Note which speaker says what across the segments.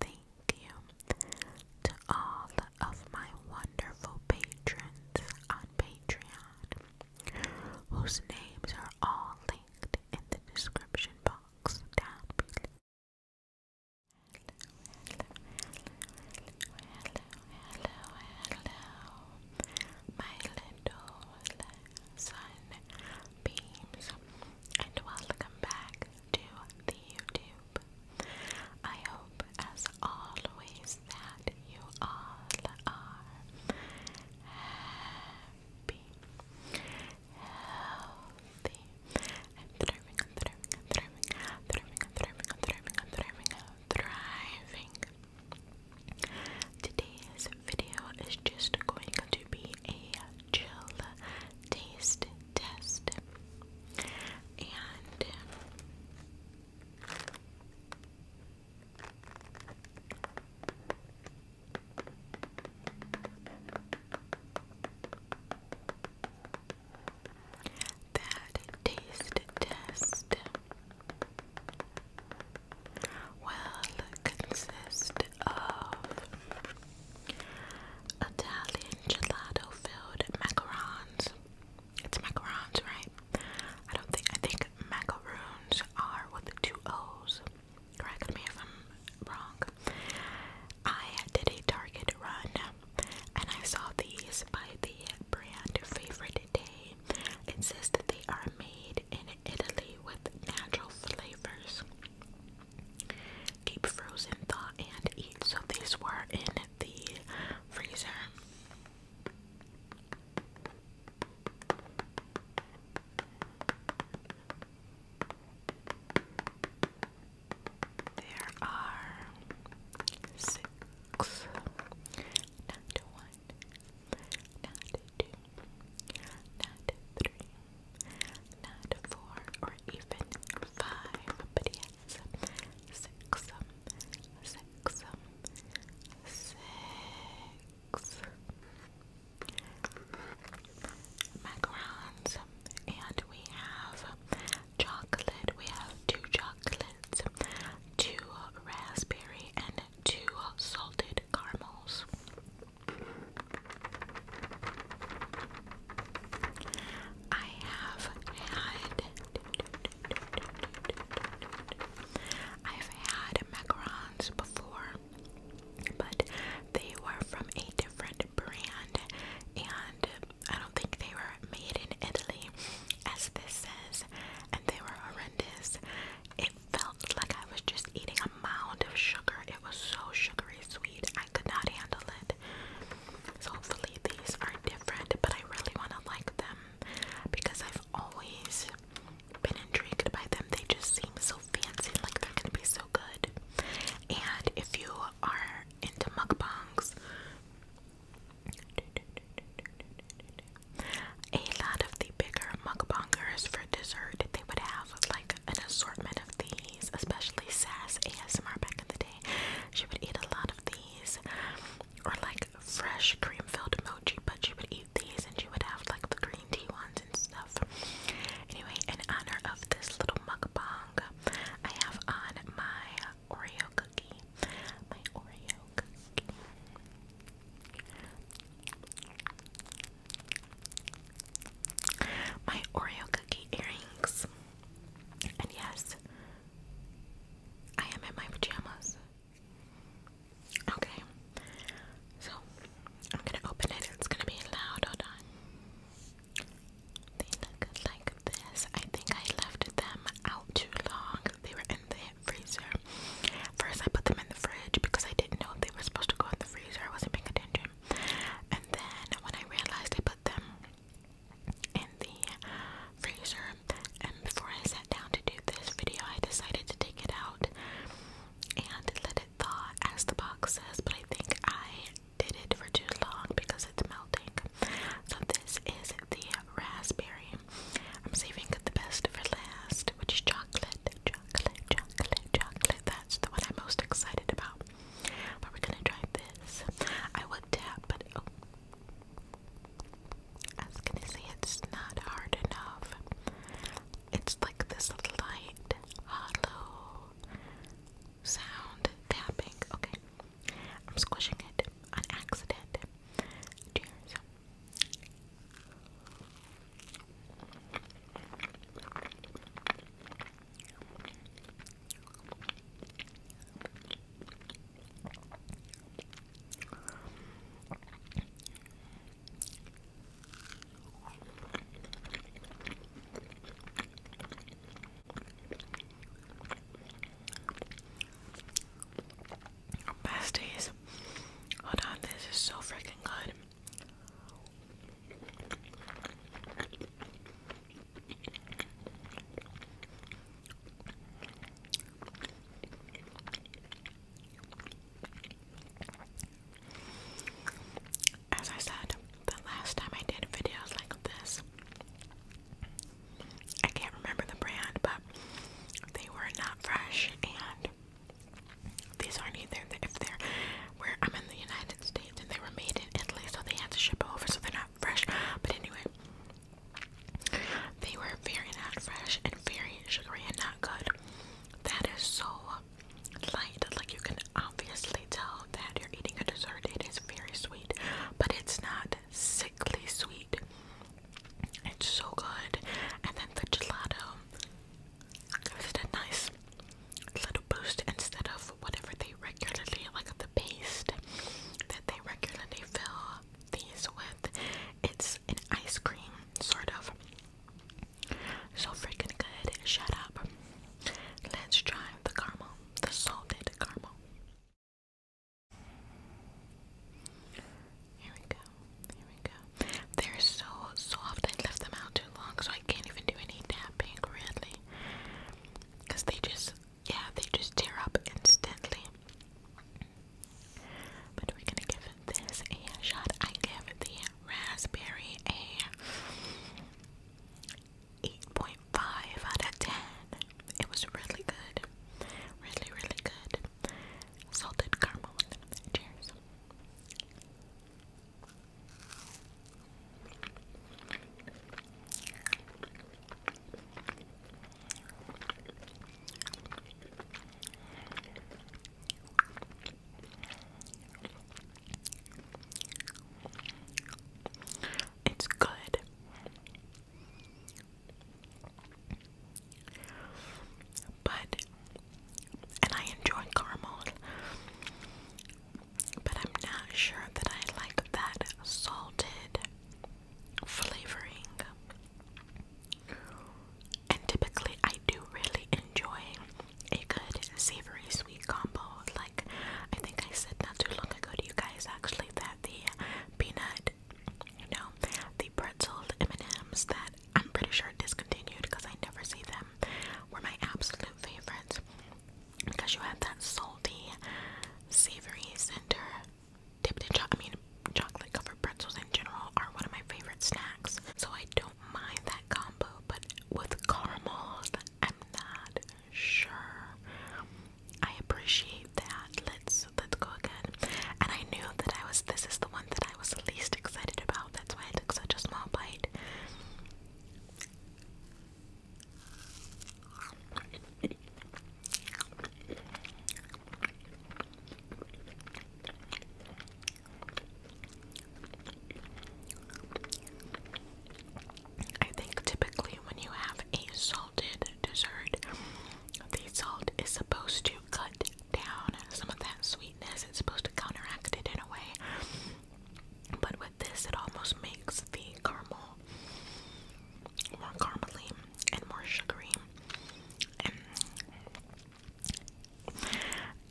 Speaker 1: Thank you to all of my wonderful patrons on Patreon, whose names are all linked in the description box down below. Hello, hello, hello, my little sun and welcome back to the YouTube. I hope, as always, that you all are happy, healthy. i thriving, thriving, thriving, thriving, thriving, thriving, thriving. Today's video is just going to be a chill taste test. And uh, that taste test will consist of Italian gelato filled macarons. It's macarons, right? I don't think, I think macaroons are with two O's. Correct me if I'm wrong. I did a Target run and I saw these by the brand Favorite Day. It says that they are made in Italy with natural flavors keep frozen, thaw, and eat. So these were in the freezer. There are six, not one, not two, not three, not four or even five, but yes, six, um, six, um, six macarons, and we have chocolate, we have two chocolates, two raspberry, and two salted caramels. I have had I've had macarons before, but they were from a different brand, and I don't think they were made in Italy, as this says, and they were horrendous. It felt like I was just eating amount of sugar. It was so sugary sweet. I could not handle it. So hopefully these are different, but I really want to like them because I've always been intrigued by them. They just seem so fancy, like they're gonna be so good. And if you are into mukbangs, a lot of the bigger mukbangers for dessert, they would have like an assortment of these, especially Sass ASMR back in the day. She would eat a lot of these, or like fresh cream filled mochi, but she would eat these and she would have like the green tea ones and stuff. Anyway, in honor of this little mukbang, I have on my Oreo cookie. My Oreo cookie my Oreo cookie earrings. And yes, I am in my pajamas. Okay, so I'm gonna open it. It's gonna be loud. Hold on. They look like this. I think I left them out too long. They were in the freezer. First, I put them in the fridge because I didn't know if they were supposed to go in the freezer. I wasn't paying attention. And then when I realized I put them in the freezer, and before I sat down to do this video, I decided to take it out and let it thaw, as the box says. But I think I did it for too long because it's melting. So this is the raspberry. I'm saving the best for last, which is chocolate, chocolate, chocolate, chocolate. That's the one I'm most excited about. But we're gonna try this. I would tap, but oh, I was gonna say it's not hard enough. It's like this light, hollow sound tapping. Okay, I'm squishing it on accident. Cheers. Pasties. Hold on, this is so freaking good. As I said, the last time I did videos like this, I can't remember the brand, but they were not fresh and these aren't either. If they're where I'm in the United States and they were made in Italy, so they had to ship over, so they're not fresh. But anyway, they were very not fresh and very sugary and not good. That is so light. Like you can obviously tell that you're eating a dessert. It is very sweet, but it's not sickly sweet. It's so good. And then the gelato gives nice little boost instead of whatever they regularly, like the paste that they regularly fill these with. It's an ice cream, sort of. So freaking good. Shut up. Let's try the caramel, the salted caramel. Here we go. They're so soft. I left them out too long, so I can't even do any tapping currently. because they just, yeah, they just tear up instantly. But we're gonna give this a shot. I give the raspberry a 8.5 out of 10. It was really good. Really, really good. Salted caramel. Cheers. It's good. But and I enjoy caramel, but I'm not sure that I like that salted flavoring. And typically, I do really enjoy a good savory sweet combo. Like, I think I said not too long ago to you guys actually that the peanut, you know, the pretzel M&Ms that I'm pretty sure discontinued because I never see them, were my absolute favorites. Because you have that salty, savory center dipped in chocolate. I mean, chocolate covered pretzels in general are one of my favorite snacks, so I don't mind that combo. But with caramel, I'm not sure. I appreciate that. Let's let's go again. And I knew that I was. This is the one that I was least excited about. That's why I took such a small bite. I think typically when you have a salted dessert, the salt is supposed to cut down some of that sweet it's supposed to counteract it in a way. But with this, it almost makes the caramel more caramely and more sugary. And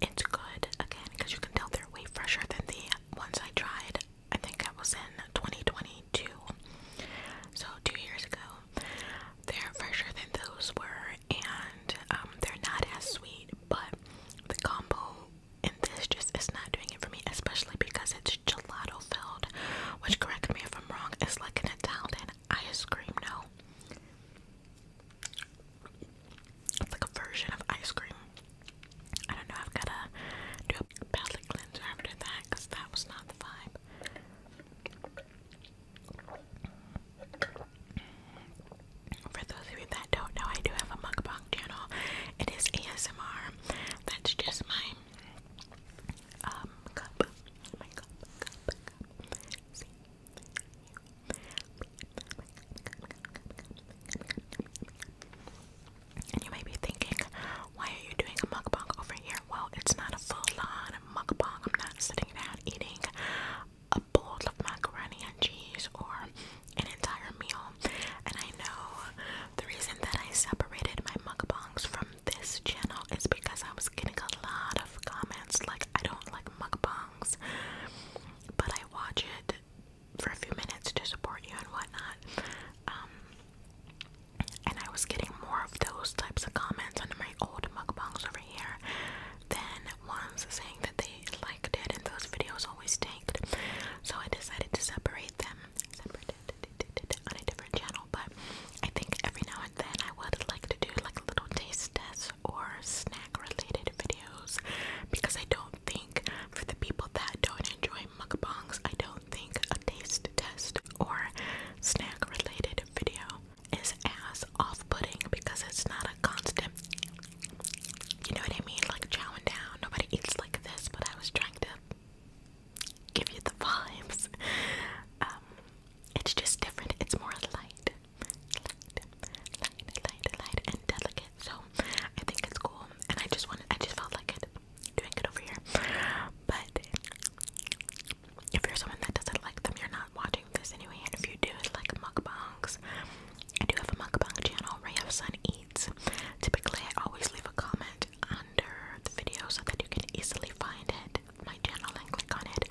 Speaker 1: it's good again because you can tell they're way fresher than the ones I tried. I think that was in 2022, so two years ago. They're fresher than those were and um, they're not as sweet, but the combo and this just is not doing it for me, especially because it's gelato filled, which correct me if I'm wrong, It's like an Italian ice cream, no? It's like a version of ice cream. I don't know, I've gotta do a palate cleanser after that because that was not the vibe. For those of you that don't know, I do have a mukbang channel. It is ASMR. That's just my um cup. My cup, cup, cup. See? And you might be thinking, why are you doing a mukbang over here? Well, it's not a full-on mukbang. I'm not sitting down eating a bowl of macaroni and cheese or an entire meal. And I know the reason that I separated my mukbangs from this channel is because I was getting a lot of comments like, I don't like mukbangs, but I watch it for a few minutes to support you and whatnot. Um, and I was getting more of those types of comments under my old mukbangs over here than ones saying that they liked it and those videos always tanked. So I decided to separate them, on a different channel. But I think every now and then I would like to do like little taste tests or snack related videos because I don't think for the people that don't enjoy mukbangs, I don't think a taste test or snack related video is as off-putting because it's not a constant you know what I mean? Like chowing down. Nobody eats like this, but I was trying to give you the vibes. Um, it's just different. It's more light. Light, light, light, and delicate. So I think it's cool. And I just wanted I just felt like it doing it over here. But if you're someone that doesn't like them, you're not watching this anyway. And if you do like mukbangs, I do have a mukbang channel, Ray of Sun Eats. Typically, I always leave a comment under the video so that you can easily find it, my channel, and click on it.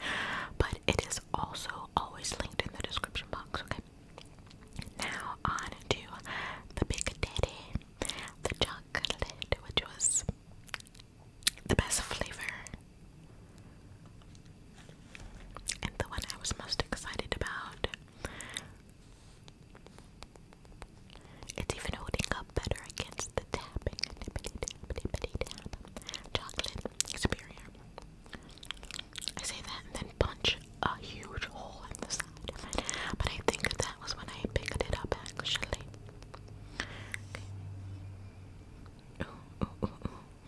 Speaker 1: But it is also always linked in the description box, okay? Now, on to the big daddy, the chocolate, which was the best flavor. And the one I was most excited about. It's even holding up better against the tapping. Chocolate superior. I say that and then punch a huge hole in the side But I think that was when I picked it up actually.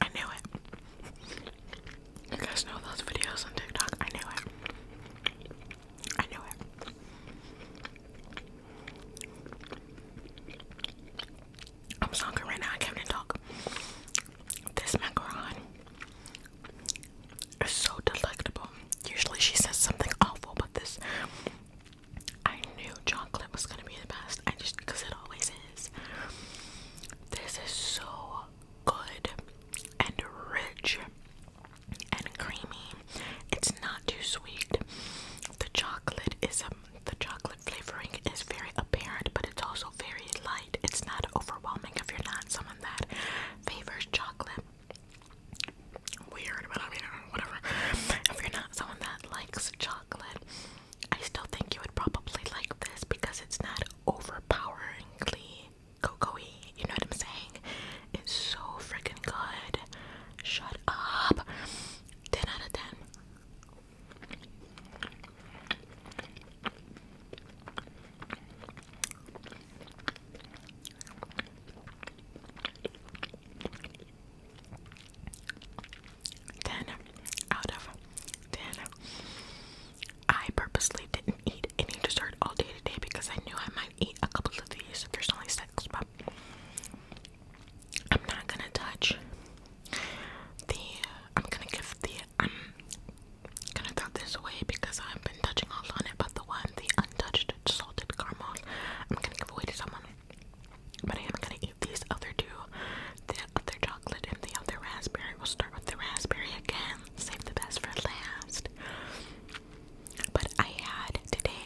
Speaker 1: I knew it. You guys know those videos on TikTok? I knew it. I knew it. I'm so hungry right now. I can't talk. This macaron is so delectable. Usually she says something awful, but this I knew chocolate was gonna be the best. I just because it always is. This is so good and rich and creamy. It's not too sweet. The chocolate is um, the chocolate flavoring is very apparent, but it's also very light. It's not overwhelming if you're not someone that favors chocolate. Weird, but I mean, whatever. If you're not someone that likes chocolate I still think you would probably like this because it's not overpoweringly cocoa You know what I'm saying? It's so freaking good. Shut up. 10 out of 10. Then, out of ten, I purposely didn't eat any dessert all day today because I knew I might eat a couple of these. There's only six, but I'm not gonna touch the. I'm gonna give the. I'm um, gonna throw this away because I've been touching all on it, but the one, the untouched salted caramel, I'm gonna give away to someone. But I am gonna eat these other two the other chocolate and the other raspberry. We'll start with the raspberry again, save the best for last. But I had today,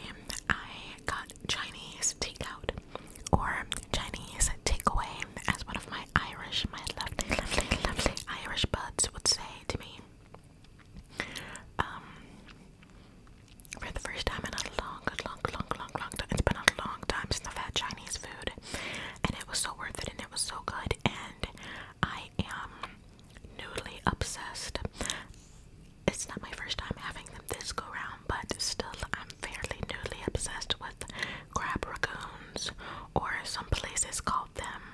Speaker 1: I got Chinese takeout or Chinese takeaway as one of my Irish, my lovely, lovely, lovely Irish buds would say to me. Um, for the first time in a long, long, long, long, long time. It's been a long time since I've had Chinese food. And it was so worth it and it was so good. And I am newly obsessed. It's not my first time having them this go round, but still, I'm fairly newly obsessed with crab raccoons, or some places call them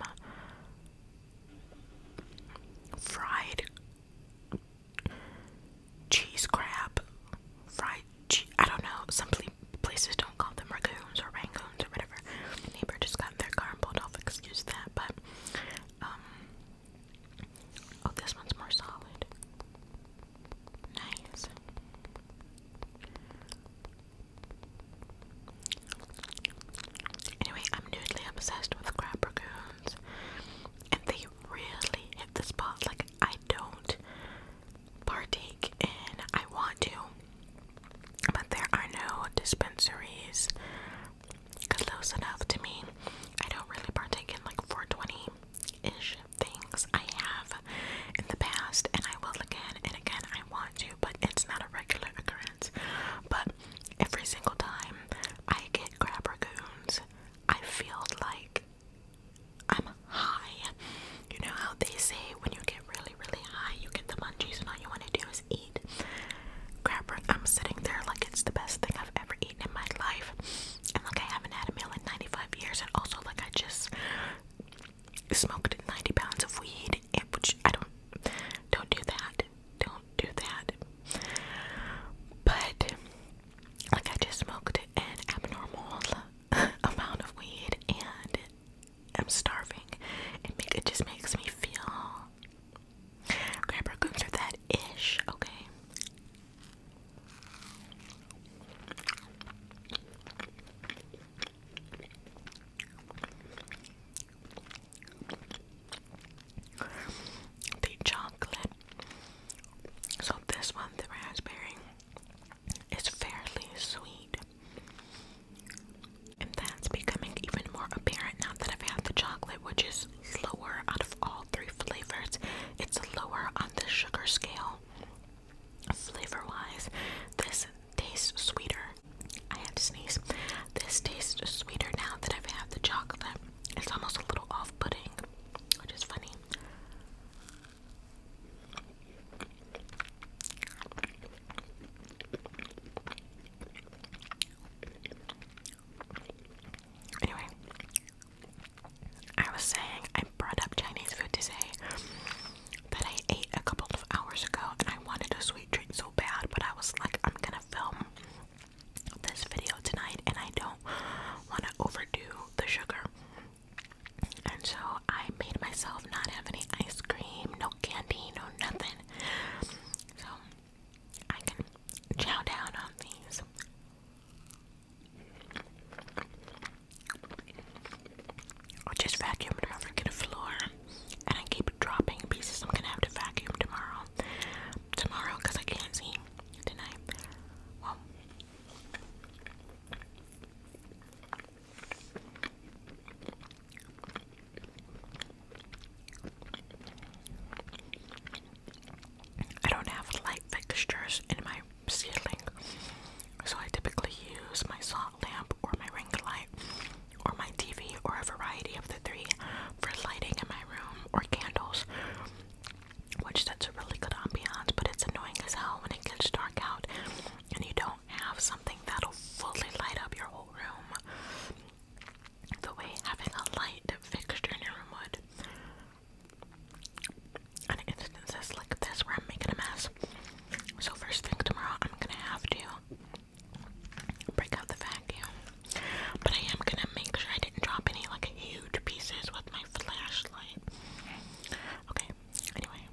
Speaker 1: fried cheese crab, fried I don't know. Some places don't call them raccoons or rangoons or whatever. neighbor just got in their car and pulled off. Excuse that, but um. Oh, this one's more solid. Nice. Anyway, I'm newly obsessed with crab raccoons, and they really, hit the spot. Like, I don't partake in, I want to, but there are no dispensaries close enough to me. I don't really partake in like 420 ish things. I have in the past, and I will again and again. I want to, but it's not a regular occurrence. But every single time I get crab raccoons, I feel like I'm high. You know how they say when you get really, really high, you get the munchies and all you want to do is eat. Crab I'm sitting there like it's the best thing I've ever eaten in my life. And like I haven't had a meal in 95 years. And also like I just smoked 90 pounds of weed, which I don't, don't do that. Don't do that. But like I just smoked an abnormal amount of weed and I'm starving. It it just makes me feel crab raccoons are that ish, okay the chocolate. So this one, the raspberry, is fairly sweet. And that's becoming even more apparent now that I've had the chocolate, which is lower out of all three flavors. It's lower on the sugar scale. Flavor wise, this tastes sweeter. I had to sneeze. This tastes sweeter now that I've had the chocolate. It's almost a little off-putting, which is funny. Anyway, I was saying I brought up Chinese food to say that I ate a couple of hours ago and I wanted a sweet treat so bad, but I was like, I'm gonna film this video tonight and I don't want to overdo the sugar. And so I made myself not have any ice cream, no candy, no nothing. So I can chow down on these. I just vacuumed my freaking floor and I keep dropping pieces. I'm gonna have to vacuum tomorrow. Tomorrow I can't see tonight. Well, I don't have light fixtures in my ceiling, so I typically use my soft lamp or my ring light or my TV or a variety of the three, for lighting in my room or candles, which that's a really good ambiance, but it's annoying as hell when it gets dark out and you don't have something that'll fully light up your whole room the way having a light fixture in your room would. And instances like this where I'm making a mess. So first thing tomorrow, I'm gonna have to break out the vacuum but I am gonna make sure I didn't drop any like huge pieces with my flashlight. Okay, anyway.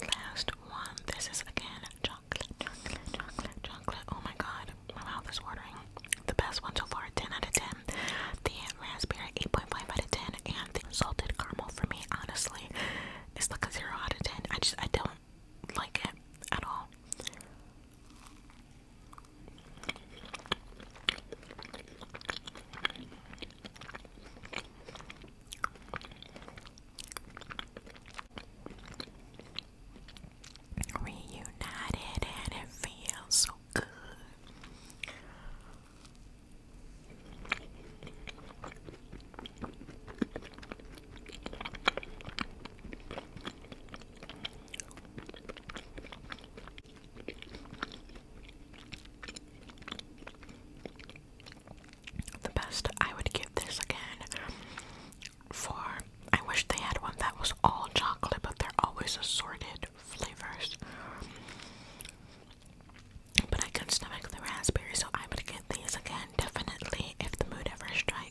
Speaker 1: Last one. This is again chocolate, chocolate, chocolate, chocolate. Oh my god, my mouth is watering. The best one so far, 10 out of 10. The raspberry, 8.5 out of 10. And the salted caramel for me, honestly, is like a 0 out of 10. I just, I don't like it at all. Reunited and it feels so good. The best I would give this again for I wish they had one that was all chocolate, but they're always assorted flavors. But I can stomach the raspberry, so I would get these again definitely if the mood ever strikes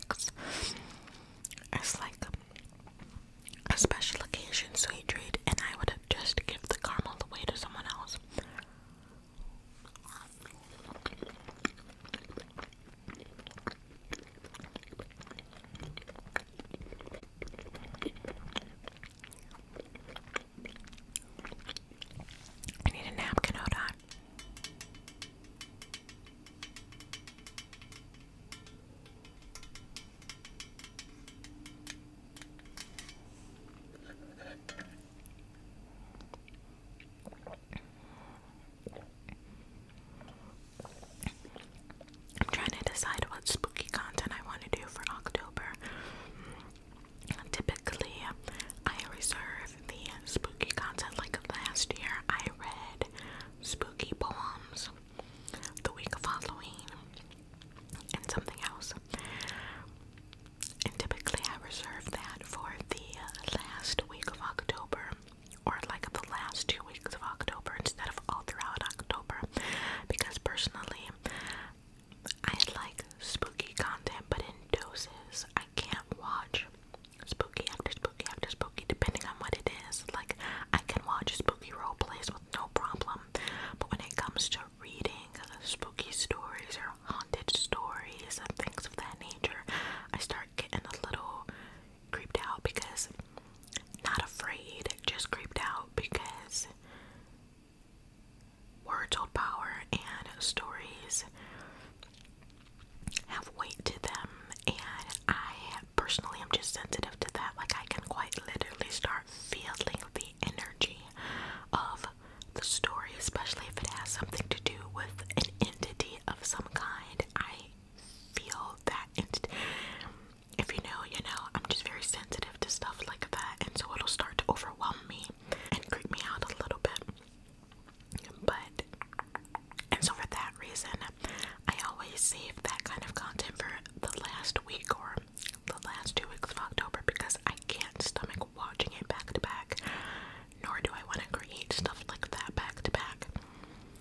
Speaker 1: strikes like a special occasion sweet treat, and I would just give the caramel away to someone else. I need a napkin, hold on. I'm trying to decide what spooky content I want to do for October. Typically, I reserve the spooky content. Like last year, I read spooky poems the week of Halloween and something else. And typically, I reserve that for the last week of October or like the last two weeks of October instead of all throughout October because personally, I like spooky content but in doses. I can't watch spooky after spooky after spooky, depending on what it is. Like, I can watch a spooky role plays with no problem, but when it comes to reading spooky stories or haunted stories and things of that nature, I start getting a little creeped out because not afraid, just creeped out because words hold power and stories have weight to them, and I personally am just sensitive to that. Like, I can quite literally start feeling the energy of the story, especially if it has something to do with an entity of some kind. I feel that If you know, you know, I'm just very sensitive to stuff like that, and so it'll start to overwhelm me and creep me out a little bit. But and so for that reason, I always save that kind of content for the last week or the last two weeks of October because I can't stomach watching it back to back, nor do I want to create stuff like that back to back.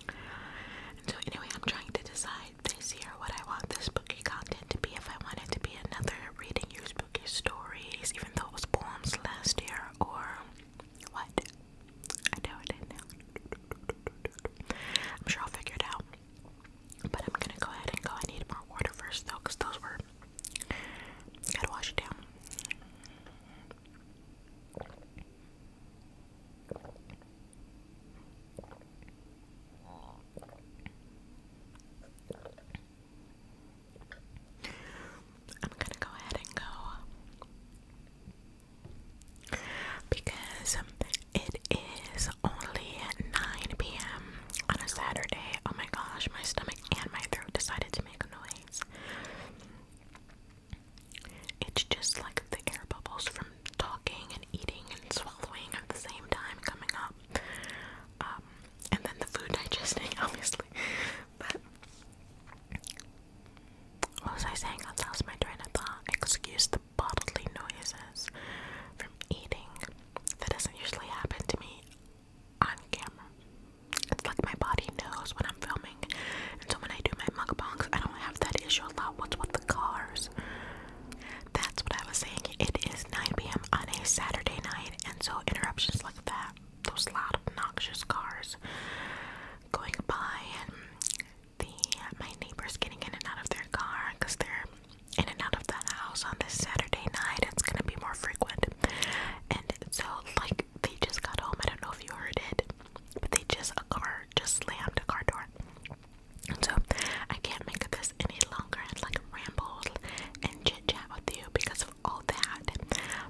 Speaker 1: And so anyway, I'm trying to decide this year what I want this spooky content to be. If I want it to be another reading your spooky stories, even though it was poems last year, or what? I know, I did I'm sure I'll figure it out. But I'm gonna go ahead and go. I need more water first though, because those were. Gotta wash it down. I'm gonna go ahead and go because it is only at 9 p.m. on a Saturday. Oh my gosh, my stomach and my throat decided to make a noise. It's just like the air bubbles from talking and eating and swallowing at the same time coming up. Um, and then the food digesting, obviously what was I saying? I lost my train of thought. Excuse the bodily noises from eating. That doesn't usually happen to me on camera. It's like my body knows when I'm filming. And so when I do my mukbangs, I don't have that issue a lot. Oh, what's with the cars? That's what I was saying. It is 9 p.m. on a Saturday night, and so interruptions like that those loud, obnoxious cars going by, and the my neighbors getting in and out of their car because they're in and out of the house on this Saturday night. It's gonna be more frequent, and so like they just got home. I don't know if you heard it, but they just a car just slammed a car door. And so I can't make this any longer and like rambled and chat with you because of all that.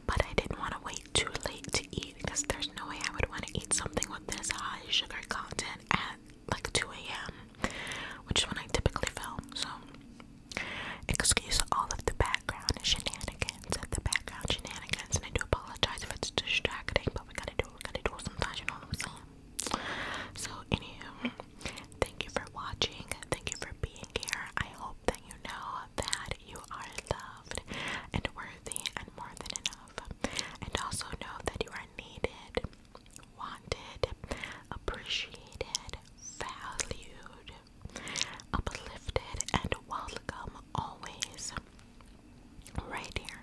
Speaker 1: But I didn't want to wait too late to eat because there's no way I would want to eat something with this high sugar content at like 2 a.m., which is when I typically film. So, excuse all of the background shenanigans and the background shenanigans, and I do apologize if it's distracting, but we gotta do what we gotta do sometimes, you know what I'm saying? So, anywho, thank you for watching, thank you for being here. I hope that you know that you are loved and worthy and more than enough. And also know that you are needed, wanted, appreciated, valued, uplifted, and welcome always. Right here.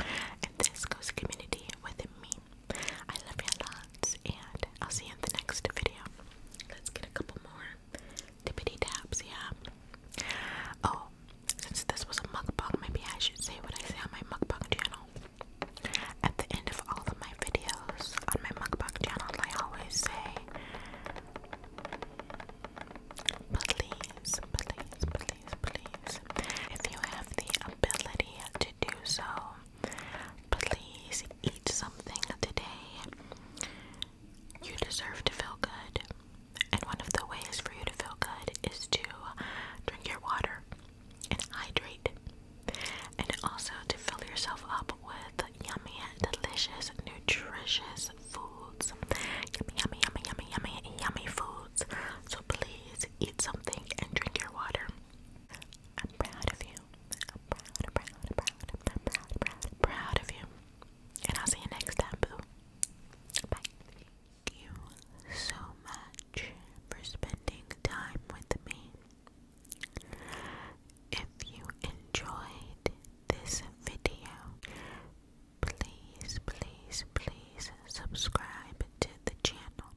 Speaker 1: And this goes community with me. I love you lots, and I'll see you in the next video. Let's get a couple more tippity taps, yeah. Oh, since this was a mukbang, maybe I should say what I say on my mukbang channel. At the end of all of my videos on my mukbang channel, I always say, please, please, please, please, if you have the ability to do so, Please eat something today. You deserve to feel good. And one of the ways for you to feel good is to drink your water and hydrate. And also to fill yourself up with yummy, delicious, nutritious foods. Yummy, yummy, yummy, yummy, yummy, yummy foods. So please eat something and drink your water. I'm proud of you. I'm proud, proud, proud, I'm proud, proud, proud of you. And I'll see you next time, boo. Thank you so much for spending time with me. If you enjoyed this video, please, please, please subscribe to the channel.